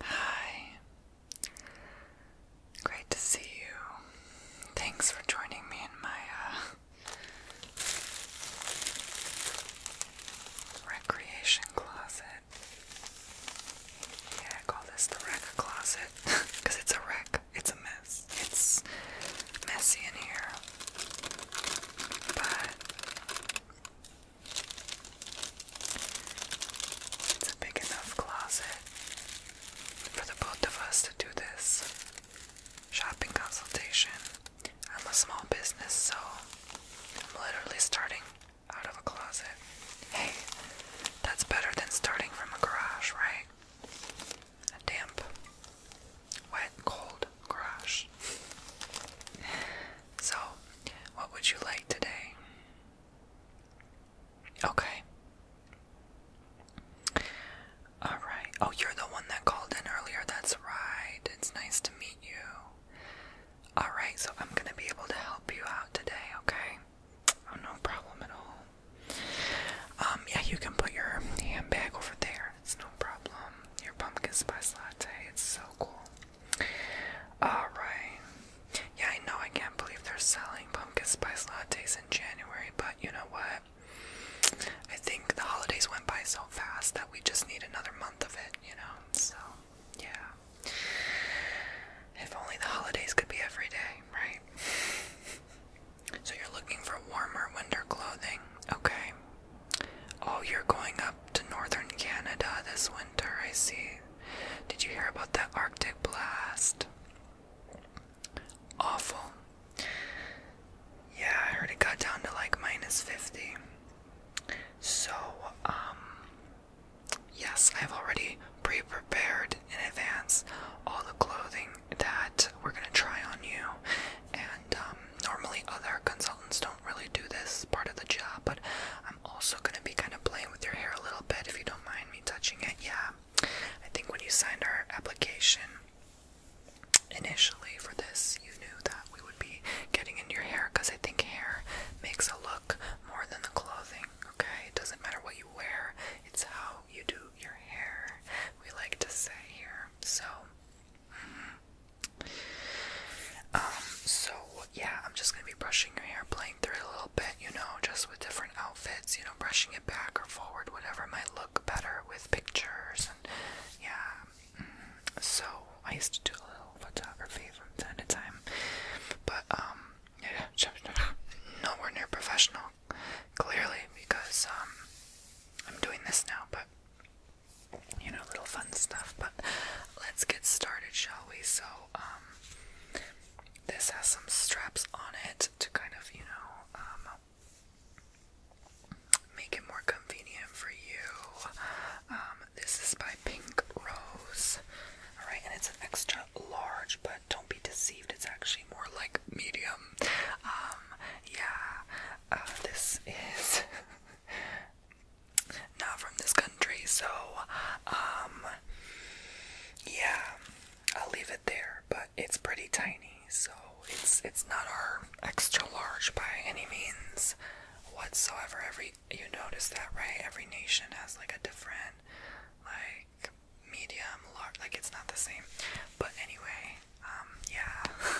Hi. Great to see you. Thanks for joining me in my uh, recreation closet. Yeah, I call this the wreck closet because it's a wreck. It's a mess. It's messy in here. But it's a big enough closet for the both of us to do this shopping consultation. I'm a small business, so I'm literally starting out of a closet. Hey, that's better than starting from a garage, right? A damp, wet, cold garage. So, what would you like today? Okay. Alright. Oh, you're the one that called in earlier. That's right. It's nice to meet you. Alright, so I'm going to be able to help you out today, okay? Oh, no problem at all. Um, yeah, you can put your handbag over there. It's no problem. Your pumpkin spice latte. It's so cool. Alright. Yeah, I know I can't believe they're selling pumpkin spice lattes in January, but you know what? I think the holidays went by so fast that we just need another month of it, you know? So, yeah. If only the holidays could be every day, right? So you're looking for warmer winter clothing, okay? Oh, you're going up to northern Canada this winter, I see. Did you hear about that Arctic blast? Awful. Yeah, I heard it got down to like minus 50. So, um, yes, I've already pre prepared in advance all the clothing that we're gonna try on you. And, um, normally other consultants don't really do this part of the job, but I'm. I'm also going to be kind of playing with your hair a little bit if you don't mind me touching it. Yeah, I think when you signed our application initially for this, you knew that we would be getting into your hair because I think hair makes a look more than the clothing, okay? It doesn't matter what you wear, it's how you do your hair, we like to say here. So, mm-hmm. Um, so yeah, I'm just gonna be brushing your hair, playing through it a little bit, you know, just with different outfits, you know, brushing it back or forward, whatever might look better with pictures and yeah. Mm. So I used to do a little photography from time to time, but um, yeah, nowhere near professional, clearly because um, I'm doing this now, but you know, little fun stuff. But let's get started, shall we? So, um, this has some straps on it to kind of, you know, um, make it more convenient for you. Um, this is by Pink Rose. Alright, and it's an extra large, but don't be deceived, it's actually more like medium. yeah, uh, this is not from this country, so um yeah, I'll leave it there, but it's pretty tiny, so it's it's not our extra large by any means whatsoever. Every you notice that, right? Every nation has like a different like medium large like it's not the same. But anyway, um yeah.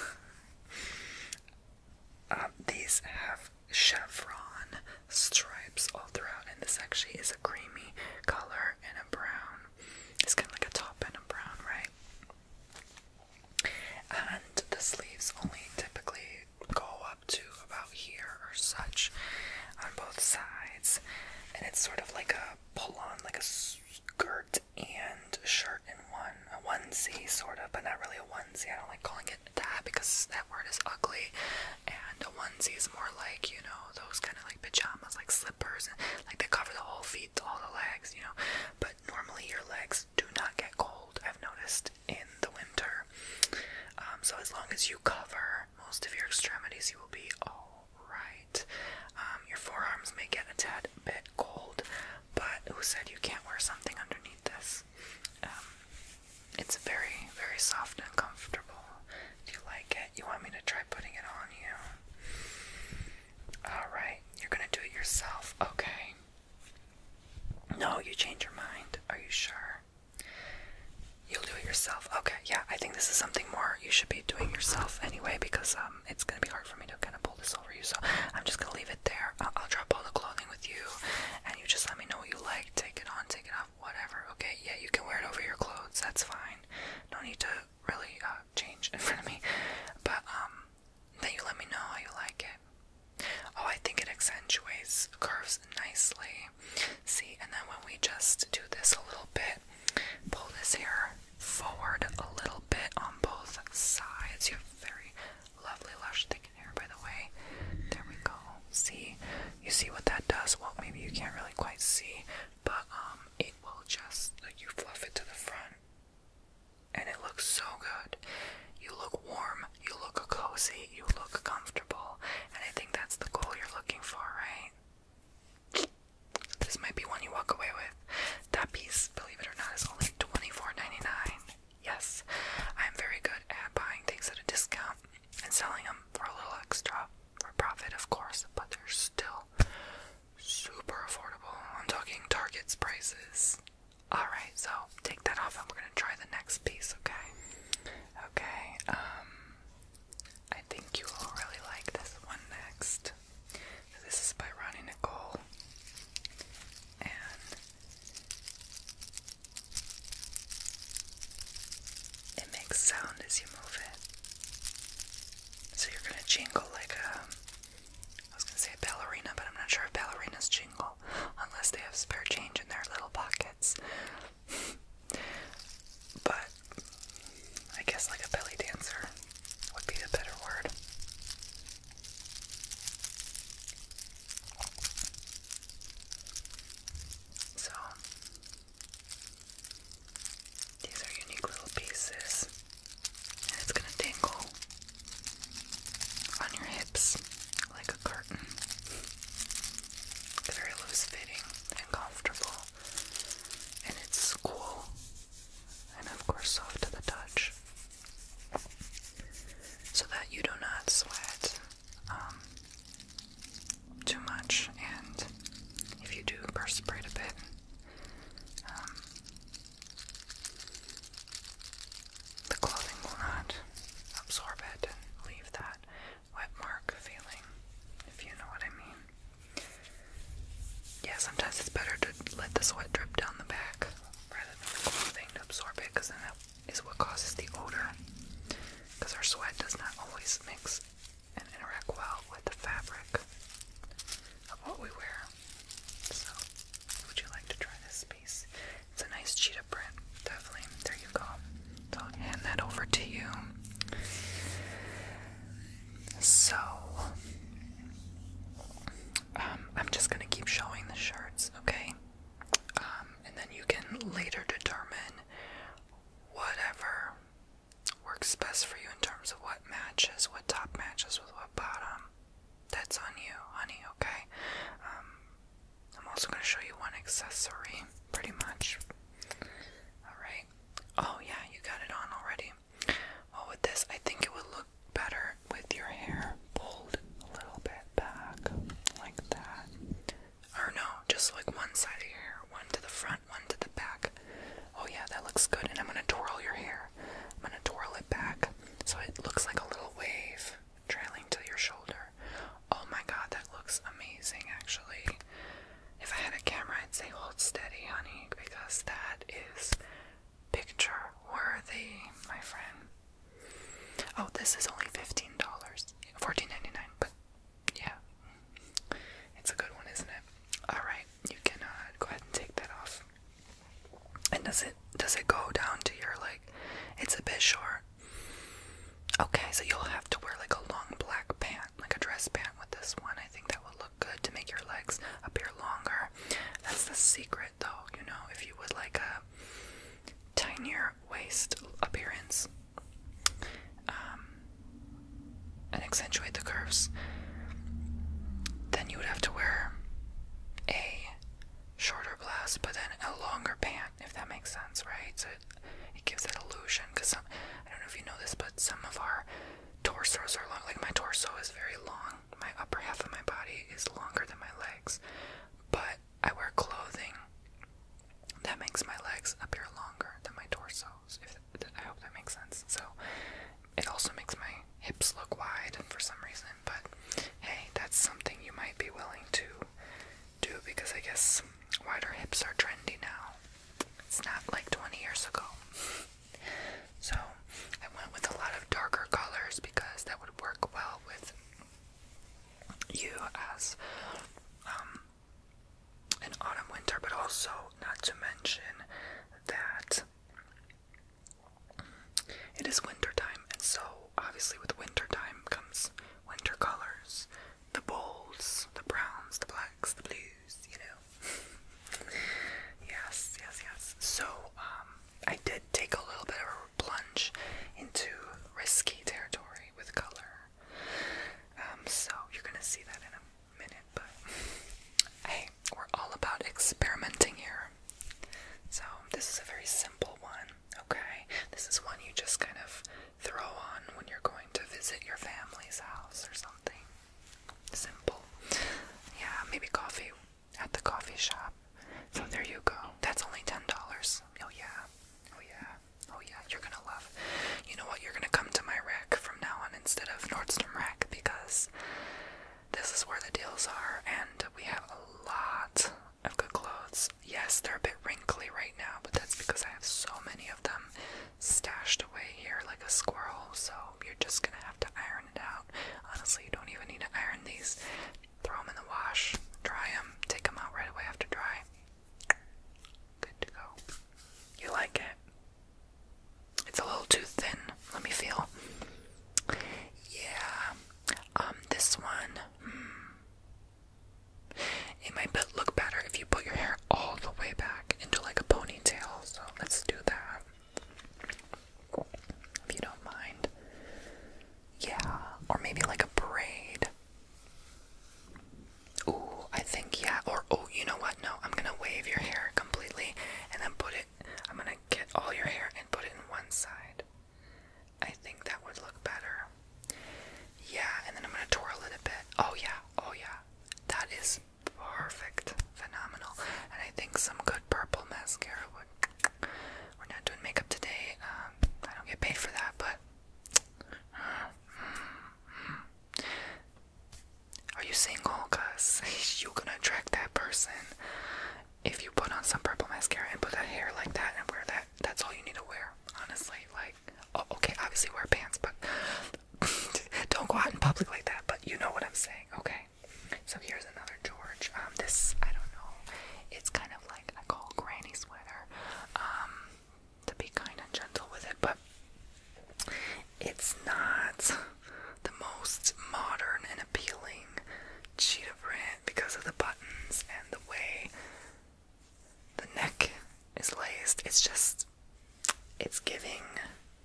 Um, these have chevron stripes all throughout, and this actually is a creamy color and a brown. It's kind of like a top and a brown, right? And the sleeves only typically go up to about here or such on both sides, and it's sort of like a pull on, like a skirt and shirt in one, a one onesie, sort of, but not really a onesie. I don't like calling it that because that word is ugly, and a onesie is more like you know those kind of like pajamas, like slippers, and like they cover the whole feet, all the legs, you know. But normally your legs do not get cold. I've noticed in the winter. Um, so as long as you cover most of your extremities, you will be all right. Um, your forearms may get a tad bit cold, but who said you can't wear something underneath this? Um, it's very, very soft and comfortable. Do you like it? You want me to try putting it on you? Alright, you're gonna do it yourself. Okay. No, you change your mind. Are you sure? You'll do it yourself. Okay, yeah, I think this is something more you should be doing yourself anyway because um, it's gonna be hard for me to kind of pull this over you. So I'm just gonna leave it there. I'll, drop all the clothing with you, and you just let me know what you like take it on, take it off, whatever. Okay, yeah, you can wear it over your clothes. That's fine. No need to really uh, change in front of me. But um, then you let me know how you like it. Oh, I think it accentuates curves nicely. See, and then when we just do this a little bit, pull this hair forward a little bit on both sides. You have very lovely, lush, thick by the way. There we go. See? You see what that does? Well, maybe you can't really quite see, but um it will just like you fluff it to the front and it looks so good. You look warm, you look cozy, you look comfortable, and I think that's the goal you're looking for, right? This might be one you walk away with. That piece, believe it or not, is only $24.99. Yes, I'm very good at buying things at a discount and selling them for a little extra for profit, of course, but they're still super affordable. I'm talking Target's prices. Alright, so take that off and we're gonna try the next piece, okay? Okay, um, I think you will really like this one next. this is by Ronnie Nicole, and it makes sound as you move it. So you're gonna jingle like a. Um, I was gonna say a ballerina, but I'm not sure if ballerinas jingle unless they have spare change in their little pockets. but I guess like a belly dancer would be the better word. So, these are unique little pieces, and it's gonna dangle on your hips like a curtain. very loose fitting and comfortable, and it's cool, and of course, soft to the touch, so that you do not sweat um, too much, and if you do perspire a bit, um, the clothing will not absorb it and leave that wet mark feeling, if you know what I mean. Yeah, sometimes it's better to let the sweat drip down the back rather than the clothing to absorb it because then that is what causes the odor because our sweat does not always mix and interact well with the fabric of what we wear. So, would you like to try this piece? It's a nice cheetah print, definitely. There you go. I'll hand that over to you. So, um, I'm just gonna keep showing the shirts, okay? Um, and then you can later determine whatever works best for you in terms of what matches, what top matches with what bottom. That's on you, honey, okay? Um, I'm also going to show you one accessory, pretty much. Alright. Oh, yeah, you got it on already. Well, with this, I think it would look better with your hair pulled a little bit back, like that. Or no, just like one side of your hair, one to the front, one to the back. Oh yeah, that looks good. And I'm gonna twirl your hair. I'm gonna twirl it back so it looks like a little wave trailing to your shoulder. Oh my god, that looks amazing actually. If I had a camera, I'd say hold steady, honey, because that is picture worthy, my friend. Oh, this is only $15. dollars 14 but yeah. It's a good one, isn't it? Alright, you can uh, go ahead and take that off. And does it does it go down to your leg? it's a bit short. Okay, so you'll have to wear like a long black pant, like a dress pant with this one. I think that will look good to make your legs appear longer. That's the secret though, you know, if you would like a tinier her waist appearance um, and accentuate the curves, then you would have to wear a shorter blouse but then a longer pant, if that makes sense, right? So it gives that illusion because some, I don't know if you know this, but some of our torsos are long. Like my torso is very long, my upper half of my body is longer than my legs, but I wear clothing that makes my legs appear longer than my torsos. If I hope that makes sense. So it also makes my hips look wide for some reason, but hey, that's something you might be willing to do because I guess wider hips are trendy now. It's not like 20 years ago. so I went with a lot of darker colors because that would work well with you as um, an autumn winter, but also not to mention that it is winter time, and so obviously with winter time comes winter colors, the bolds, the browns, the blacks, the blues, you know. yes, yes, yes. So um, I did take a little bit of plunge into risky territory with color. Um, so you're gonna see that in a minute, but hey, we're all about experimenting here. So this is a very simple one, okay? This is one you just kind of throw on when you're going to visit your family's house or something. Simple. Yeah, maybe coffee at the coffee shop. So there you go. That's only ten dollars. Oh yeah. Oh yeah. Oh yeah, you're gonna love. You know what? You're gonna come to my rack from now on instead of Nordstrom rack because this is where the deals are, and we have a lot of good clothes. Yes, they're a bit wrinkly right now, but that's because I have so many of them stashed away here like a squirrel. So you're just gonna have to iron it out. Honestly, you don't even need to iron these. Throw them in the wash, dry them, take them out right away after dry. Good to go. You like it? It's a little too thin. Let me feel. Yeah. Um, this one. Hmm. It might look better if you put your hair all the way back into like a ponytail. So let's do that. If you don't mind. Yeah, or maybe like a braid. Ooh, I think yeah. Or oh, you know what? No, I'm gonna wave your hair completely and then put it. I'm gonna get all your hair and put it in one side. I think that would look better. Yeah, and then I'm gonna twirl it a bit. Oh yeah, oh yeah. That is perfect, phenomenal. And I think some good purple mascara would. We're not doing makeup today. Um, I don't get paid for that, but are you single? Cause you are gonna attract that person if you put on some purple mascara and put that hair like that and wear that. That's all you need to wear, honestly. Like, oh, okay, obviously wear pants, but don't go out in public like that. But you know what I'm saying, okay? So here's another George. Um, this I don't know. It's kind of like I call granny sweater. Um, to be kind and gentle with it, but it's not the most modern and appealing cheetah print because of the buttons and the way the neck is laced. It's just, it's giving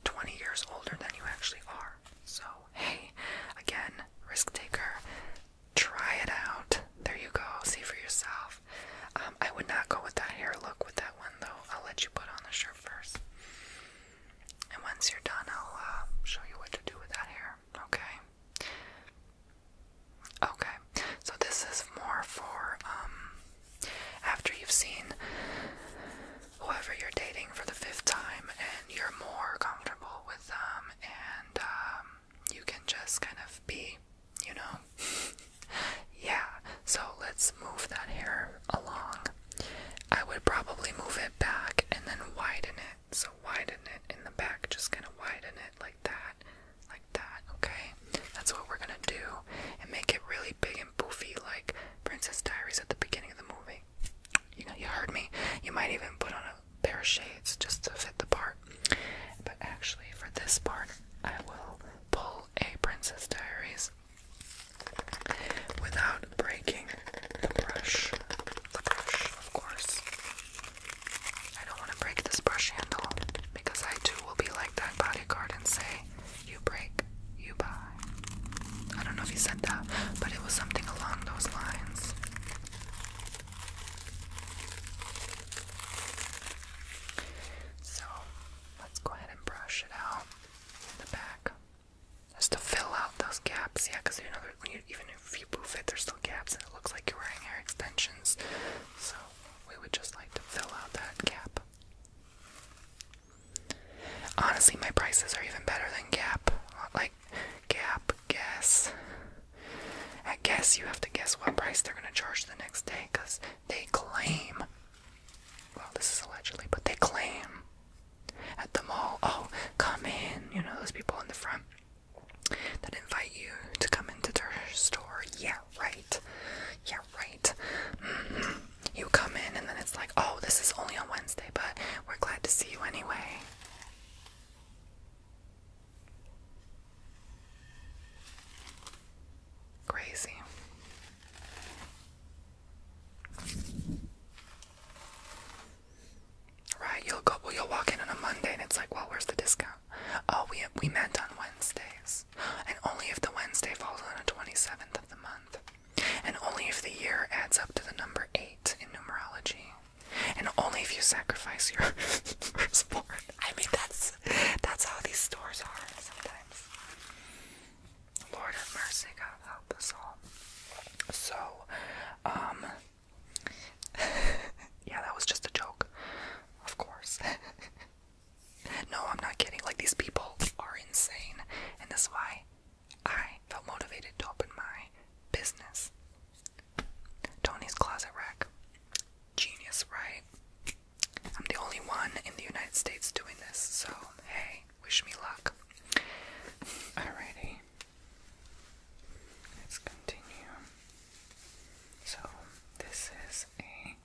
20 years older than you actually are. So, hey, again, risk taker, try it out. There you go. See for yourself. Um, I would not go with that hair look with that one though. I'll let you put on the shirt first. And once you're done, I'll uh, show you what to do with that hair. Okay. Okay. So this is more for um, after you've seen whoever you're dating for the fifth time and you're more comfortable with them and um you can just kind of be, you know? yeah, so let's move that hair along. I would probably move it back and then widen it. So widen it in the back, just kind of widen it like that, like that, okay? That's what we're gonna do and make it really big and poofy like Princess Diaries at the beginning of the movie. You know, you heard me. You might even put on a pair of shades just to fit the part. But actually, for this part, I will pull a Princess Diaries without breaking the brush. The brush, of course. I don't want to break this brush handle because I too will be like that bodyguard and say, You break, you buy. I don't know if he said that, but it was something along those lines. So let's go ahead and brush it out in the back. Just to fill out those gaps, yeah, even if you move it, there's still gaps and it looks like you're wearing hair extensions. So we would just like to fill out that gap. Honestly, my prices are even better than Gap. Like, Gap, Guess, I guess you have to guess what price they're going to charge the next day because they claim, well, this is allegedly, but they claim at the mall, oh, come in, you know, those people in the front that invite you to come into their store. Yeah, right. Yeah, right. Mm-hmm. You come in, and then it's like, oh, this is only on Wednesday, but we're glad to see you anyway. Crazy. Right, you'll go. Well, you'll walk in on a Monday, and it's like, well, where's the discount? Oh, we we met on Wednesdays, and only if the Wednesday falls on the twenty seventh of the month, and only if the year adds up to the number eight in numerology, and only if you sacrifice your firstborn. I mean, that's that's how these stores are sometimes. Lord have mercy, God help us all. So, um, yeah, that was just a joke, of course. no, I'm not kidding. Like, these people are insane, and that's why I felt motivated to open my business. Tony's closet rack. Genius, right? I'm the only one in the United States doing this, so hey, wish me luck. Alrighty. Let's continue. So, this is a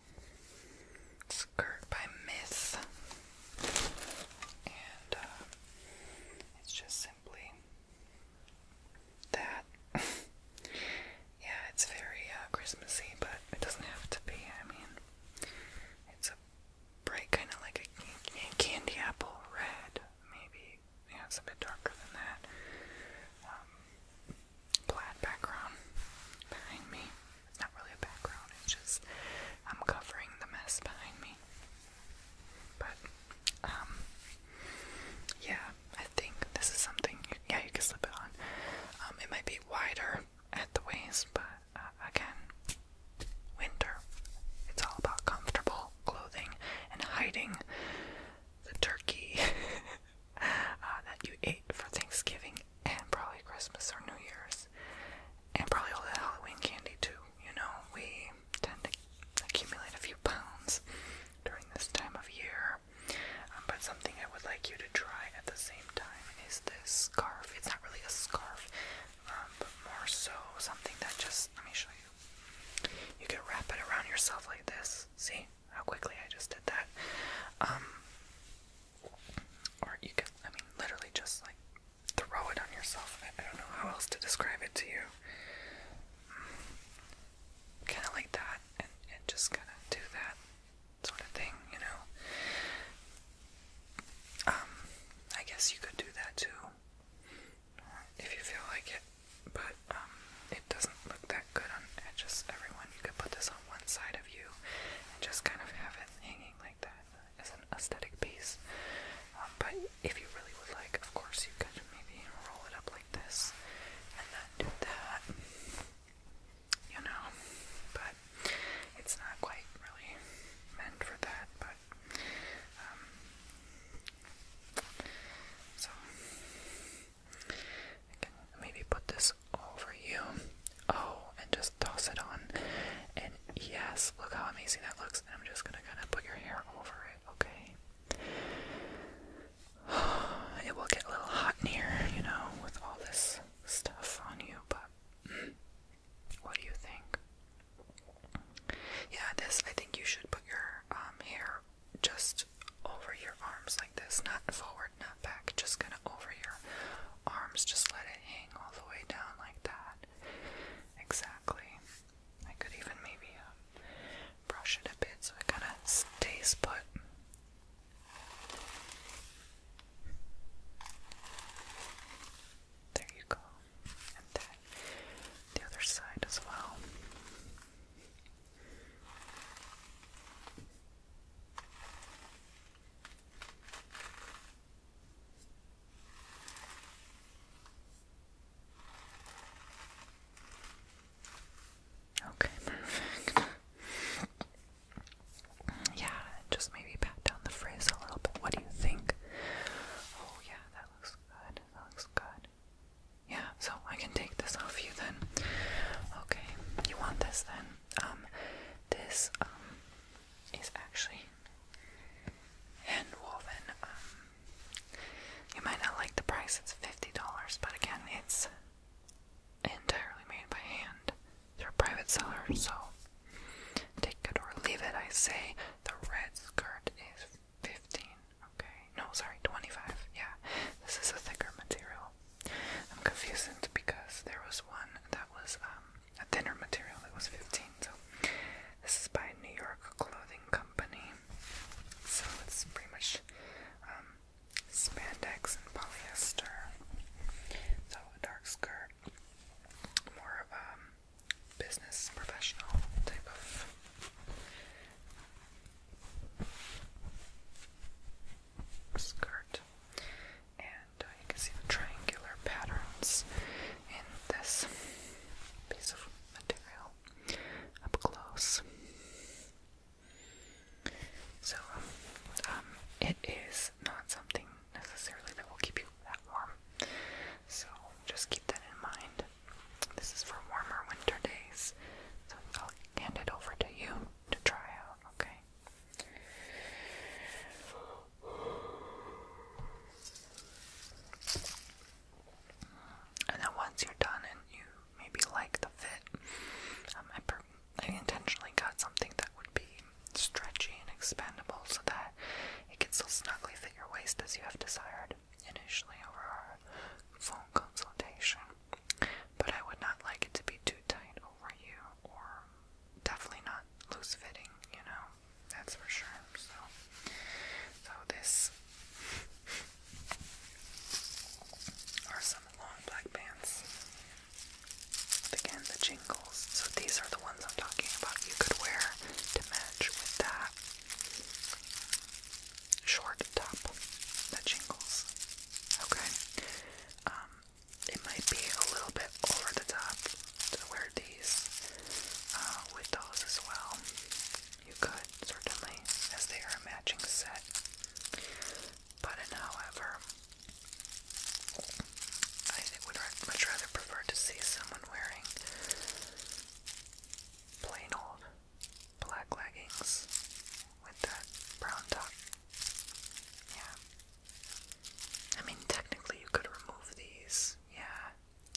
skirt by Myth. And uh, it's just simply that. yeah, it's very uh, Christmassy, but it doesn't have to be. I mean, it's a bright kind of like a candy apple red, maybe. Yeah, it's a bit darker than that. Um, plaid background behind me. It's not really a background, it's just I'm covering the mess behind me. But, um, yeah, I think this is something, yeah, you can slip it on. Um, it might be wider at the waist, but uh, again, winter. It's all about comfortable clothing and hiding the turkey uh, that you ate for Thanksgiving and probably Christmas or New Year's, and probably all the Halloween candy too. You know, we tend to accumulate a few pounds during this time of year um, but something I would like you to try at the same time is this scarf. It's not really a scarf, um, but more so something that just, let me show you. You can wrap it around yourself like this. See how quickly I just did that? Um, or you can, I mean, literally just like throw it on yourself. I don't know how else to describe it to you kind of like that and, just kind of do that sort of thing, you know. Um, I guess you could do that too if you feel like it, but um, it doesn't look that good on just everyone. You could put this on one side of you and just kind of have it hanging like that as an aesthetic piece. Um, but if you really would like, of course, you could maybe roll it up like this and then that, you know, but it's not quite really meant for that, but, um, so, maybe put this over you, oh, and just toss it on, and yes, look how amazing that looks, and I'm just gonna kind of put your hair over it, okay? it will get a little hot in here, you know, with all this stuff on you, but what do you think? Yeah, this, I think you should put your um, hair just over your arms like this, not forward, not back, just kind of over your arms, just let it hang all the way down like that. Exactly. I could even maybe uh, brush it a bit so it kind of stays put. There you go. And then the other side as well. Okay, perfect. yeah, just maybe pat down the frizz a little bit. What do you think? Oh, yeah, that looks good. That looks good. Yeah, so I can take this off you then. Okay, you want this then? Um, this um is actually hand woven. Um, you might not like the price. It's fifty dollars, but again, it's entirely made by hand. they a private seller, so take it or leave it. I say the red skirt is fifteen. Okay, no, sorry, twenty-five. Yeah, this is a thicker material. I'm confused because there was one that was um, a thinner material that was fifteen. So this is by New York Clothing Company. So it's pretty much um, spandex and polyester. So a dark skirt, more of a um, business professional type of. Skirt, and uh, can see the triangular patterns in this piece of material up close. So, um, um, it is not something necessarily that will keep you that warm. So, just keep that in mind. This is for warmer winter days. So, I'll hand it over to you to try out, okay? And then once you're done and you maybe like the fit. Um, I, per I intentionally got something that would be stretchy and expandable so that it can still snugly fit your waist as you have desired initially over our phone consultation. But I would not like it to be too tight over you or definitely not loose fitting, you know, that's for sure. So, so this are some long black pants. Again, the jingles. So these are the ones I'm talking about you could wear to match with that short top that jingles. Okay? Um, it might be a little bit over the top to wear these uh, with those as well. You could, certainly, as they are a matching set button, however, I would much rather prefer to see someone wearing plain old black leggings with that brown top. Yeah. I mean, technically, you could remove these. Yeah,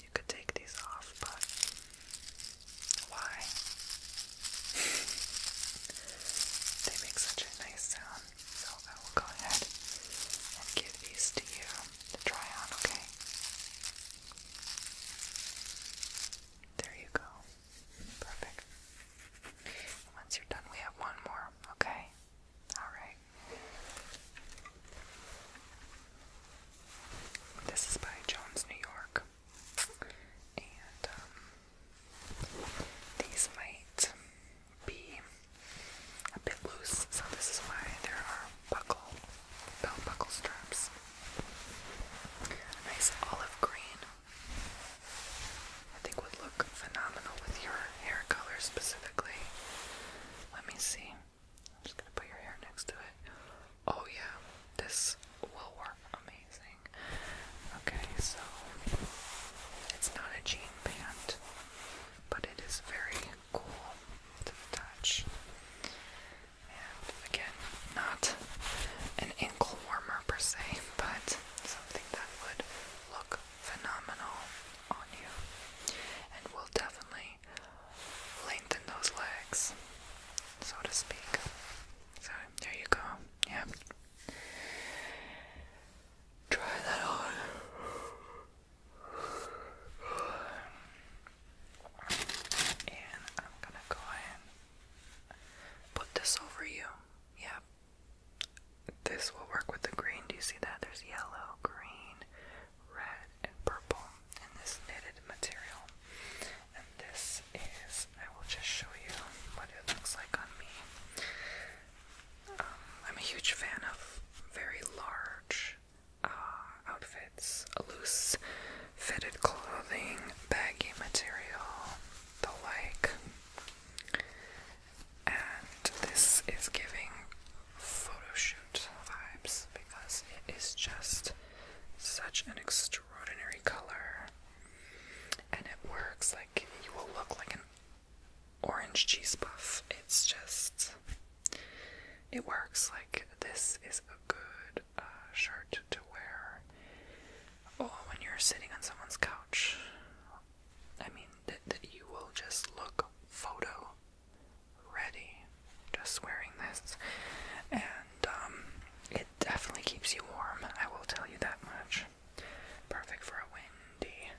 you could take these off, but why? they make such a nice sound, so I will go ahead and give these to you to try on, okay? There you go. Perfect. Once you're done, we have one more, okay? Alright. This is by Jones, New York and um, these might be a bit loose, so this is why there are buckle belt buckle straps. nice olive green, I think, would look phenomenal with your hair color specifically. Let me see. I'm just gonna put your hair next to it. Oh yeah, this will work on me. Okay, so it's not a jean pant, but it is very cool to the touch. And again, not an ankle warmer per se, but something that would look phenomenal on you and will definitely lengthen those legs, so to speak. So there you go. Yep, Try that on. And I'm gonna go in. Put this over you. Yeah. This will work with the green. Do you see that? There's yellow, green, red, and purple in this knitted material. And this is, I will just show you what it looks like on me. Um, I'm a huge fan of very large uh, outfits, loose fitted clothing, baggy material, the like. And this is giving photo shoot vibes because it is just such an extraordinary color and it works. Like you will look like an orange cheese puff. It's just, it works. Like this is a good uh, shirt to wear. Oh, when you're sitting on someone's couch, I mean that that you will just look photo ready just wearing this, and um, it definitely keeps you warm, I will tell you that much. Perfect for a windy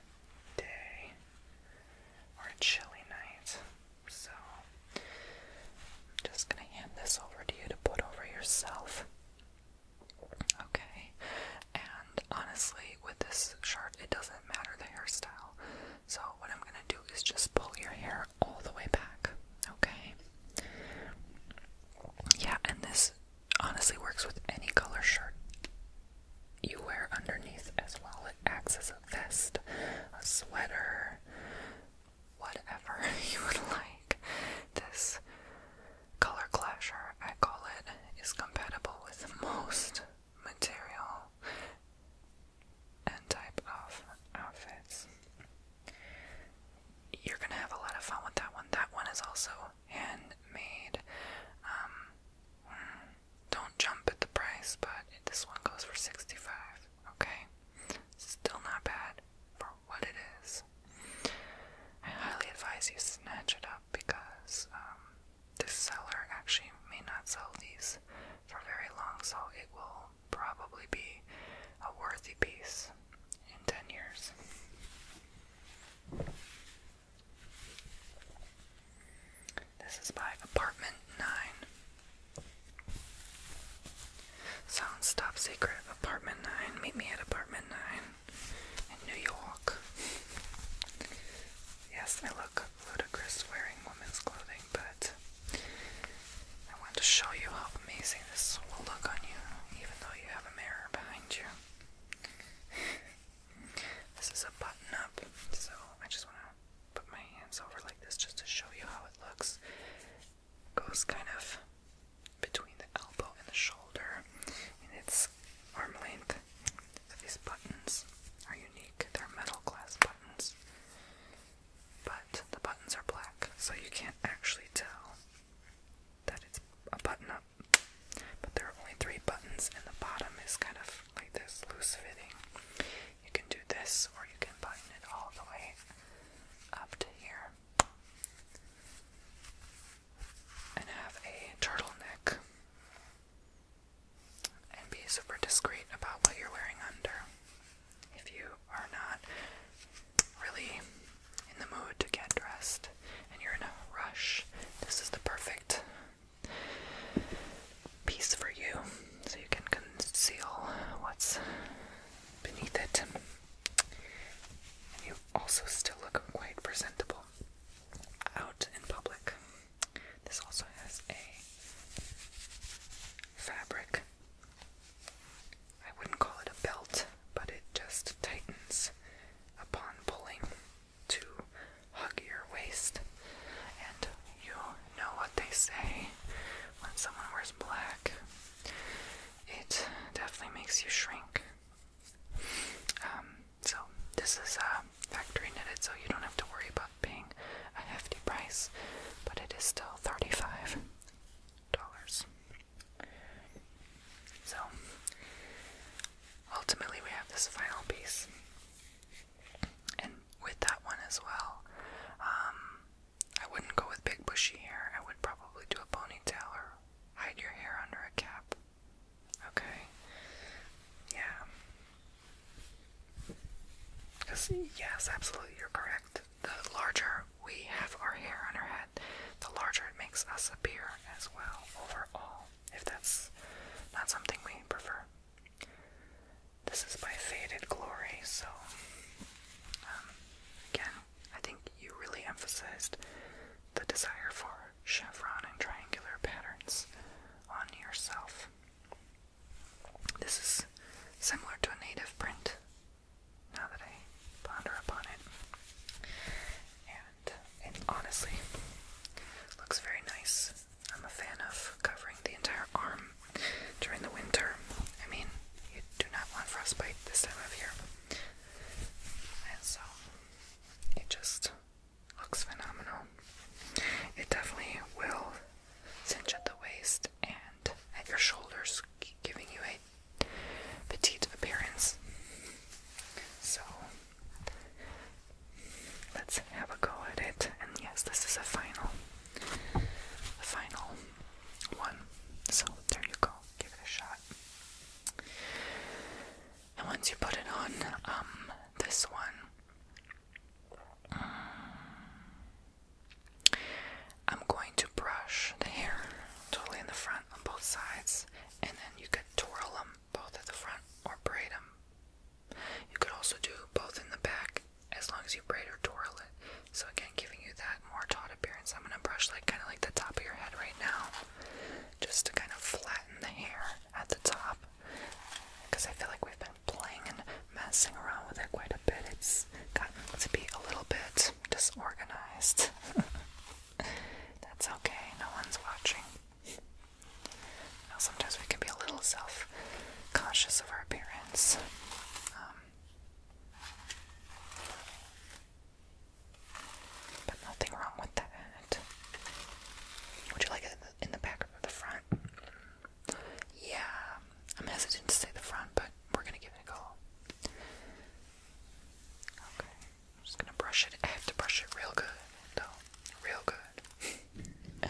day or a chilly night. So, I'm just gonna hand this over to you to put over yourself. Okay, and honestly, with this shirt, it doesn't matter the hairstyle. So, what I'm gonna do is just pull your hair all the way back. Okay? Yeah, and this honestly works with any color shirt you wear underneath as well. It acts as a vest, a sweater, whatever you would like. This color clasher, I call it, is compatible with most material and type of outfits you're gonna have a lot of fun with that one. That one is also handmade. Um, hmm, don't jump at the price, but this one goes for 65 Okay, still not bad for what it is. I highly advise you snatch it up because um, this seller actually may not sell these for very long, so it will probably be a worthy piece in 10 years. This is my Apartment 9. Sounds top secret. Apartment 9. Meet me at Apartment 9 in New York. Yes, I look ludicrous wearing women's clothing, but I want to show you how amazing this will look on you, even though you have a mirror behind you. this is a button up, so I just want to put my hands over like this just to show you how it looks. Goes kind of between the elbow and the shoulder, and it's arm length. So these buttons are unique, they're metal glass buttons. But the buttons are black, so you can't actually tell that it's a button up, but there are only three buttons, and the bottom is kind of like this loose fitting. You can do this, or you can button it all the way up to here and have a turtleneck and be super discreet about what you're wearing under. If you are not really in the mood to get dressed and you're in a rush, this is the perfect piece for you so you can conceal what's beneath it. And you also still look quite presentable out in public. This also has a fabric I wouldn't call it a belt, but it just tightens upon pulling to hug your waist. And you know what they say when someone wears black, it definitely makes you shrink. Um, so, this is uh, factory knitted, so you don't have to worry about being a hefty price, but it is still $35. So, ultimately, we have this final piece. And with that one as well, um, I wouldn't go with big bushy hair. I would probably do a ponytail or hide your hair under a cap. Okay? Yeah. Because, yes, absolutely, you're correct. The larger we have our hair on our head, the larger it makes us appear as well overall, if that's not something we prefer. This is by Faded Glory, so um, again, I think you really emphasized the desire for chevron and triangular patterns on yourself. This is similar to a native print now that I ponder upon it. And it honestly looks very nice. I'm a fan of covering the entire arm during the winter. I mean, you do not want frostbite this time of year. And so, it just looks phenomenal. It definitely will cinch at the waist and at your shoulders, giving you a petite appearance. So let's have a go at it. And yes, this is a final, the final one. So there you go. Give it a shot. And once you put it on, um, this one, mm, I'm going to brush the hair totally in the front on both sides and then you could twirl them both at the front or braid them. You could also do both in the back as long as you braid or twirl it. So, again, giving you that more taut appearance. I'm gonna brush like kind of like the top of your head right now just to kind of flatten the hair at the top because I feel like we've been playing and messing around with it quite a bit. It's gotten to be a little bit disorganized. That's okay, no one's watching. sometimes we can be a little self conscious of our appearance. Um, but nothing wrong with that. Would you like it in the back or the front? Yeah, I'm hesitant to say the front, but we're gonna give it a go. Okay. I'm just gonna brush it. I have to brush it real good, though. Real good.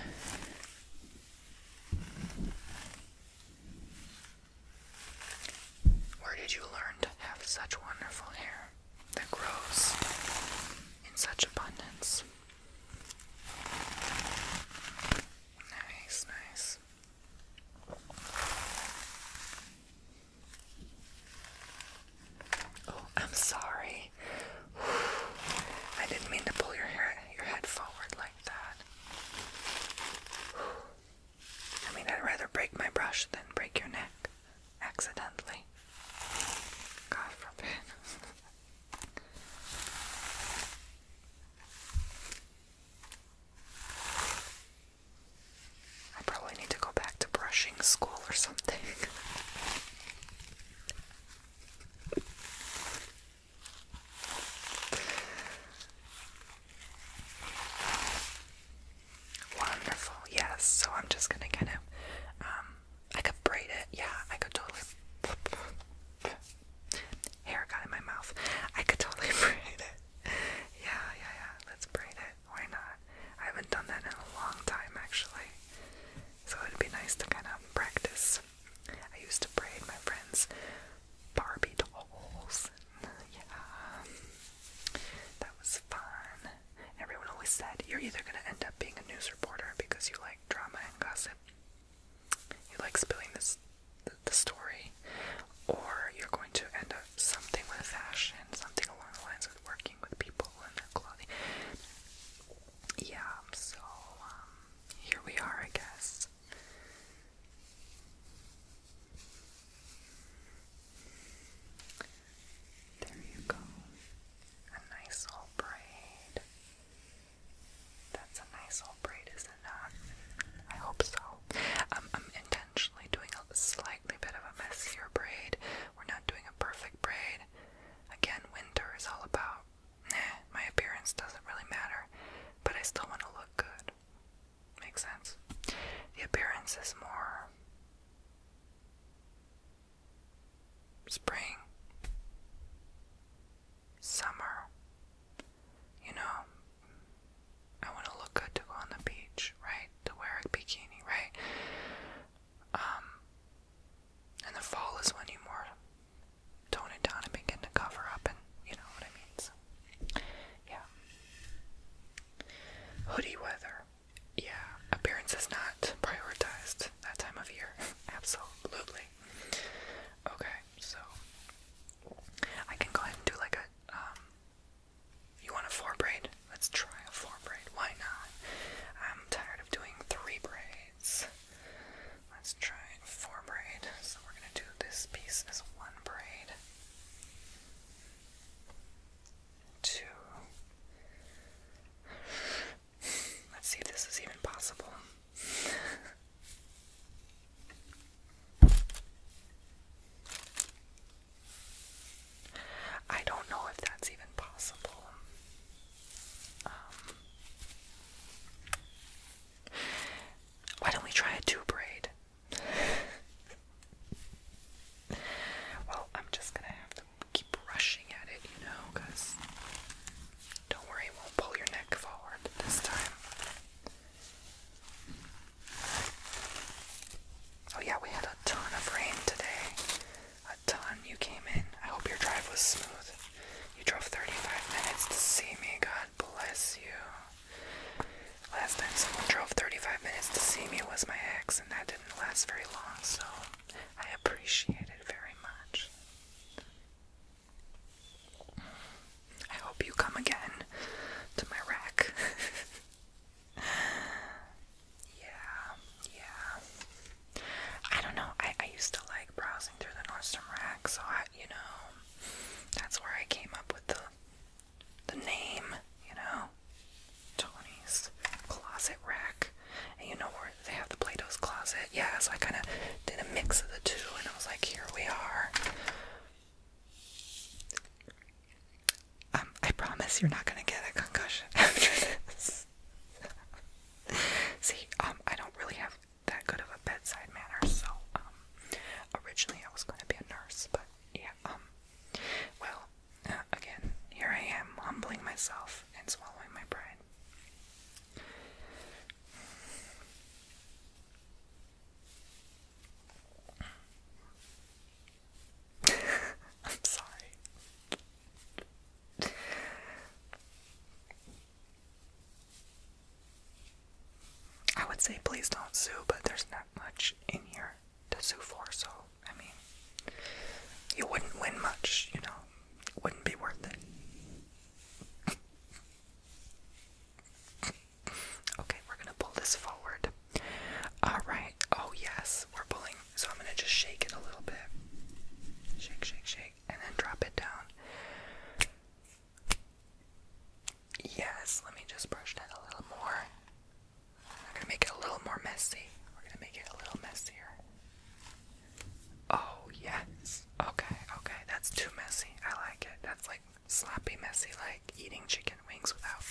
Where did you learn to have such wonderful hair that grows in such abundance? Nice, nice. Oh, I'm sorry. I didn't mean to pull your hair, your head forward like that. I mean, I'd rather break my brush than break your neck accidentally. God forbid. I probably need to go back to brushing school or something. Wonderful, yes. So I'm just gonna kind of, um, I could braid it. Yeah, I could totally. Hair got in my mouth. I could totally braid it. Yeah, yeah, yeah. Let's braid it. Why not? I haven't done that in a long time actually. So it'd be nice to kind of practice. I used to braid my friends Barbie dolls. Yeah. That was fun. Everyone always said you're either going to end up being a news reporter because you like drama and gossip. You like spilling this the, story or you're going to end up something with fashion, something along the lines of working with people and their clothing. Yeah, so um, here we are, I guess. There you go. A nice old braid. That's a nice old braid, isn't it? I hope so. Um, I'm entirely doing a slightly bit of a messier braid. We're not doing a perfect braid. Again, winter is all about, nah, my appearance doesn't really matter, but I still want to look good. Makes sense? The appearance is more spring, summer, you know, I want to look good to go on the beach, right? To wear a bikini, right? Um, and the fall is when you more tone it down and begin to cover up, and you know what I mean. So, yeah. Hoodie weather. Yeah, appearance is not prioritized that time of year. Absolutely. Okay, so I can go ahead and do like a um, you want a four braid? Let's try a four braid. Why not? I'm tired of doing three braids. Let's try a four braid. So we're gonna do this piece as one braid. Two. Let's see if this is even possible. I don't know if that's even possible. Um, why don't we try a two braid? well, I'm just gonna have to keep rushing at it, you know, because don't worry, it won't pull your neck forward this time. Oh, yeah, we had a ton of rain today. A ton. You came in. I hope your drive was smooth. You drove 35 minutes to see me. God bless you. Last time someone drove 35 minutes to see me was my ex, and that didn't last very long, so I appreciate it very much. I hope you come again to my rack. Yeah, yeah. I don't know. I, I used to like browsing through the Nordstrom rack, so I, you know, that's where I came up with the the name, you know, Tony's Closet Rack. And you know where they have the Plato's Closet? Yeah, so I kind of did a mix of the two, and I was like, here we are. Um, I promise you're not gonna get a concussion after this. See, um, I don't really have that good of a bedside manner, so um, originally I was going to be a nurse, but yeah, um, well, uh, again, here I am humbling myself and swallowing my pride. I'm sorry. I would say please don't sue, but there's not much in here to sue for, so I mean, you wouldn't win much, you know, wouldn't be worth it. okay, we're gonna pull this forward. Alright, oh yes, we're pulling. So I'm going to just shake it a little bit. Shake, shake, shake, and then drop it down. Yes, let me just brush that a little more. I'm going to make it a little more messy. We're going to make it a little messier. Oh, yes. Okay, okay, that's too messy. I like it. That's like sloppy, messy, like eating chicken wings without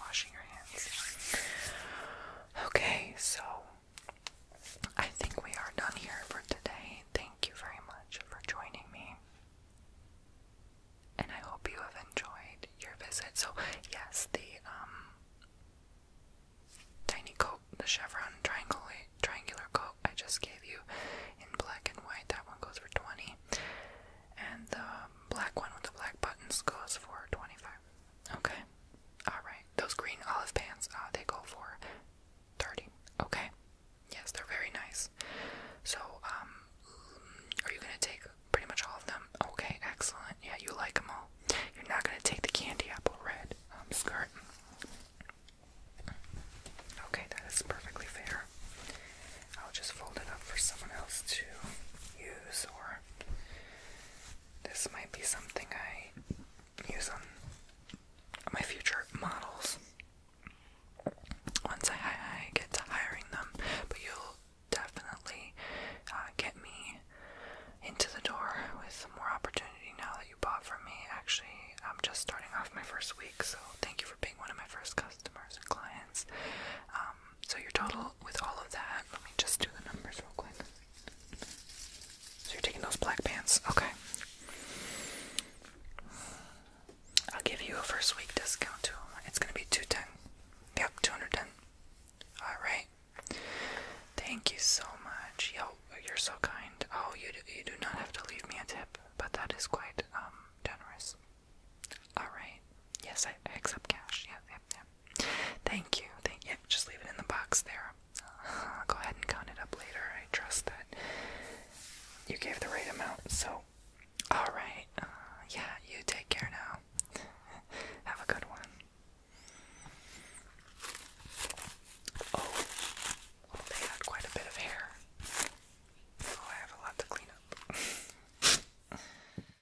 washing your hands. Okay, so I think we are done here for today. Thank you very much for joining me. And I hope you have enjoyed your visit. So, yes, the um tiny coat, the chevron triangle triangular coat I just gave you in black and white, that one goes for 20. And the black one with the black buttons goes for 25. Okay. Alright. Those green olive pants, uh, they go for 30 Okay. Yes, they're very nice. So, um, are you gonna take pretty much all of them? Okay, excellent. Yeah, you like them all. You're not gonna take the candy apple red um, skirt. Okay, that is perfectly fair. I'll just fold it up for someone else to use or this might be something I use on my future models. Once I, get to hiring them, but you'll definitely uh, get me into the door with some more opportunity now that you bought from me. Actually, I'm just starting off my first week, so thank you for being one of my first customers and clients. Um, so your total with all of that, let me just do the numbers real quick. So you're taking those black pants, okay? I'll give you a first week discount too. It's gonna be two ten. Yep, two hundred ten. All right. Thank you so much. Yo, you're so kind. Oh, you do, you do not have to leave me a tip, but that is quite um generous. All right. Yes, I, I accept cash. Yeah, yeah, yeah. Thank you. Yeah, just leave it in the box there. Uh, go ahead and count it up later. I trust that you gave the right amount. So, all right. Uh, yeah, you take care now. Have a good one. Oh, they had quite a bit of hair. Oh, I have a lot to clean up.